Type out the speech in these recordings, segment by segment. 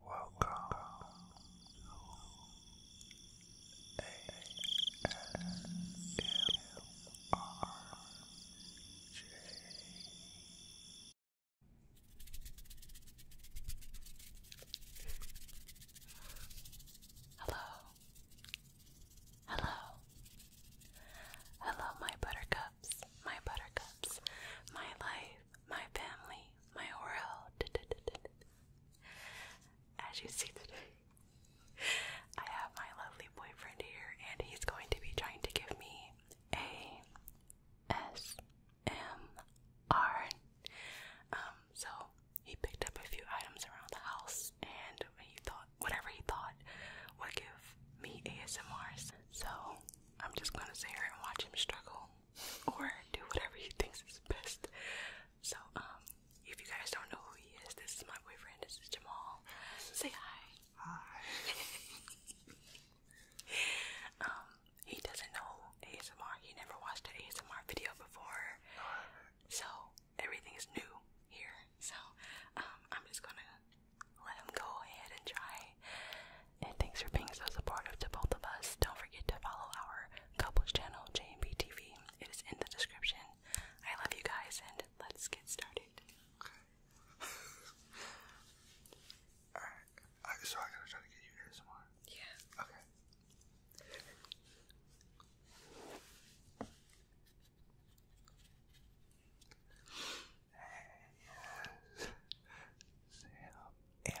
Welcome Hello. Hello. Hello, my buttercups, my buttercups, my life, my family, my world. As you see today, I have my lovely boyfriend here, and he's going to be trying to give me a S M R. Um, so he picked up a few items around the house, and he thought whatever he thought would give me ASMRs. So I'm just gonna sit here and watch him struggle or do whatever he thinks is best. So, um, if you guys don't know who he is, this is my boyfriend, this is Jamal. Say hi. Hi. um, he doesn't know ASMR, he never watched an ASMR video before. So everything is new here. So, um, I'm just gonna let him go ahead and try and thanks for being so supportive to both of us. Don't forget to follow our couples channel, JMB TV. It is in the description. I love you guys, and let's get started. so I gotta try to get you here somewhere. Yeah. Okay. M.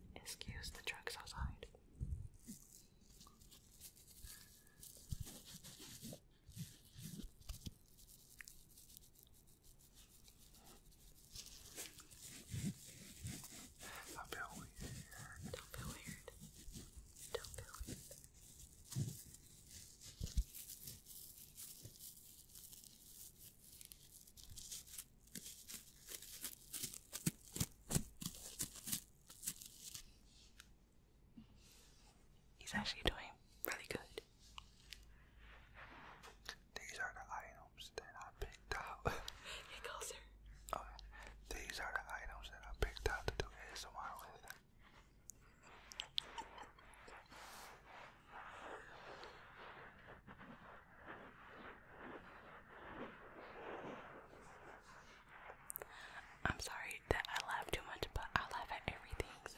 Excuse the trucks outside. I feel weird. Don't feel weird. Don't feel weird. He's actually doing really good. These are the items that I picked out. Get closer. Okay. These are the items that I picked out to do ASMR with. I'm sorry that I laugh too much, but I laugh at everything. So.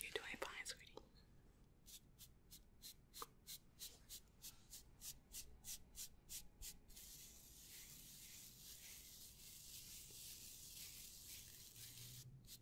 You're doing fine, sweetie.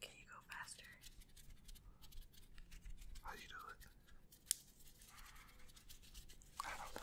Can you go faster? How you do I don't know.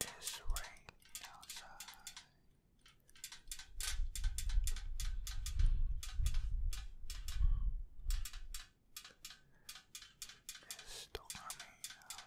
It's raining outside. It's stormy outside.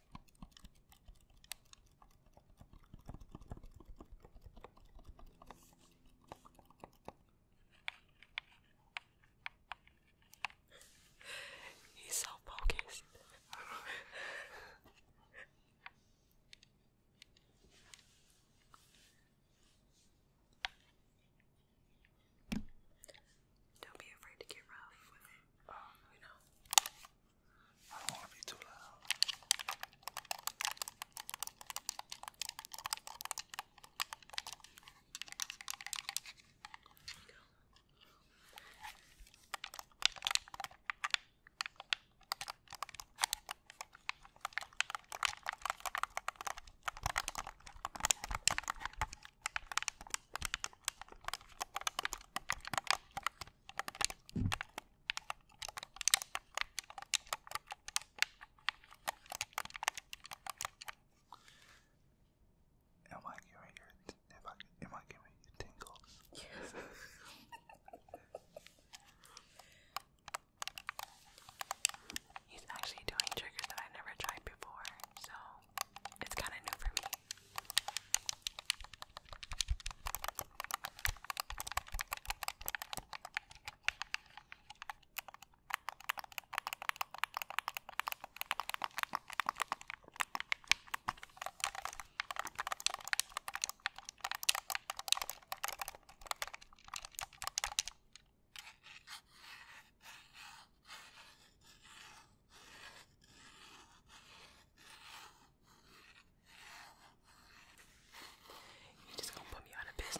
He's so focused. Don't be afraid to get rough with it. Um, oh, you know. I don't want to be too loud. There you go. Am I giving you am I giving you tingles? Yes. He's actually doing triggers that I never tried before, so it's kind of new for me. You just gonna put me out of business.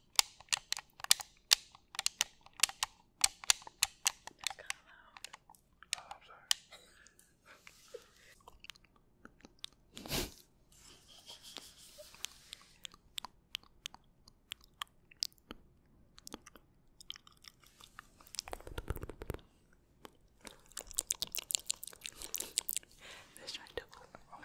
That's kind of loud. Oh, I'm sorry. this tried to. Oh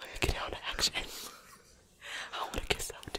Let me get out of action. I want to kiss out.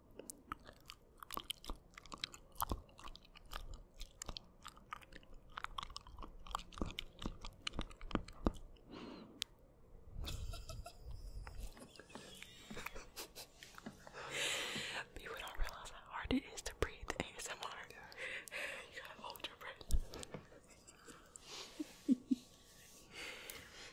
People don't realize how hard it is to breathe ASMR. you gotta hold your breath.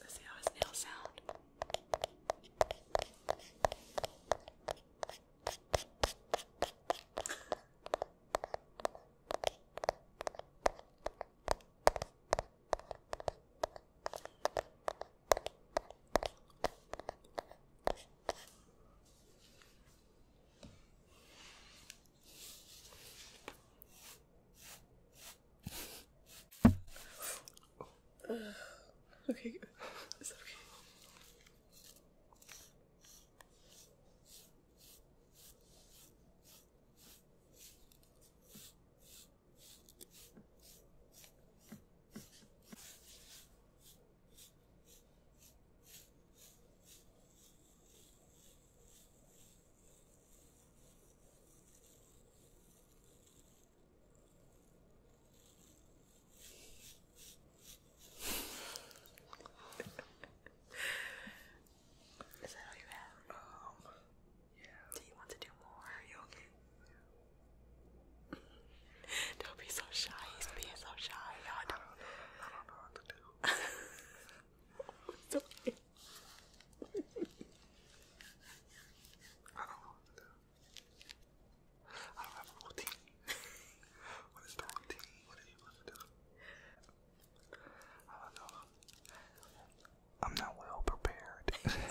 Let's see how his nails sound. okay, is that okay? Is that all you have? yeah. Um, do you want to do more? Don't be so shy. don't know. I do I don't know I have a routine. what is the routine? What are you supposed to do? I don't know. I'm not well prepared.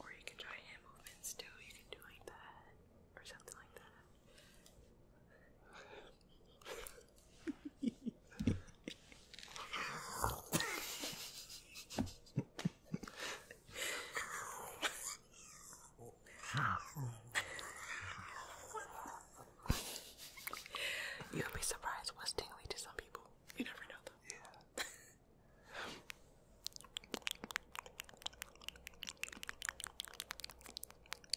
Or you can try hand movements too, you can do like that or something like that. You'll be surprised what's tingly to some people. You never know, though. Yeah.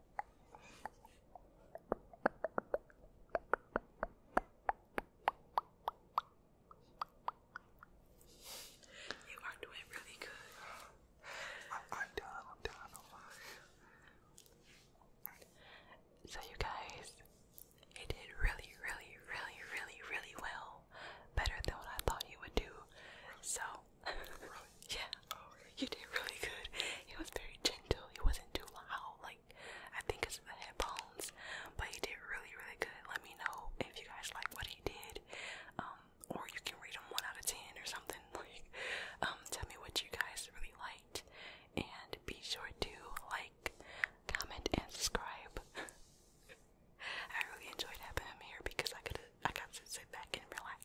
You are doing really good. I'm, done. I'm done. So you guys, it did really, really, really, really, really well. Better than what I thought you would do. So yeah. Oh, You did really good. He was very gentle. He wasn't too loud. Like I think it's the headphones. But he did really, really good. Let me know if you guys like what he did. Um, or you can rate him one out of ten or something. Like, um, tell me what you guys really liked. And be sure to like, comment, and subscribe. I really enjoyed having him here because I could I got sit back and relax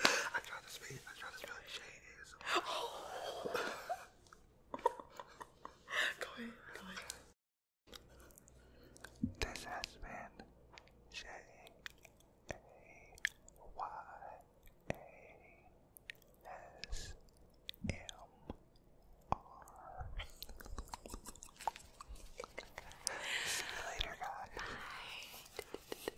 I tried to speak. I tried to spell shade is. Oh. go ahead. Go ahead. This has been J A Y A S M R. later, guys. Bye.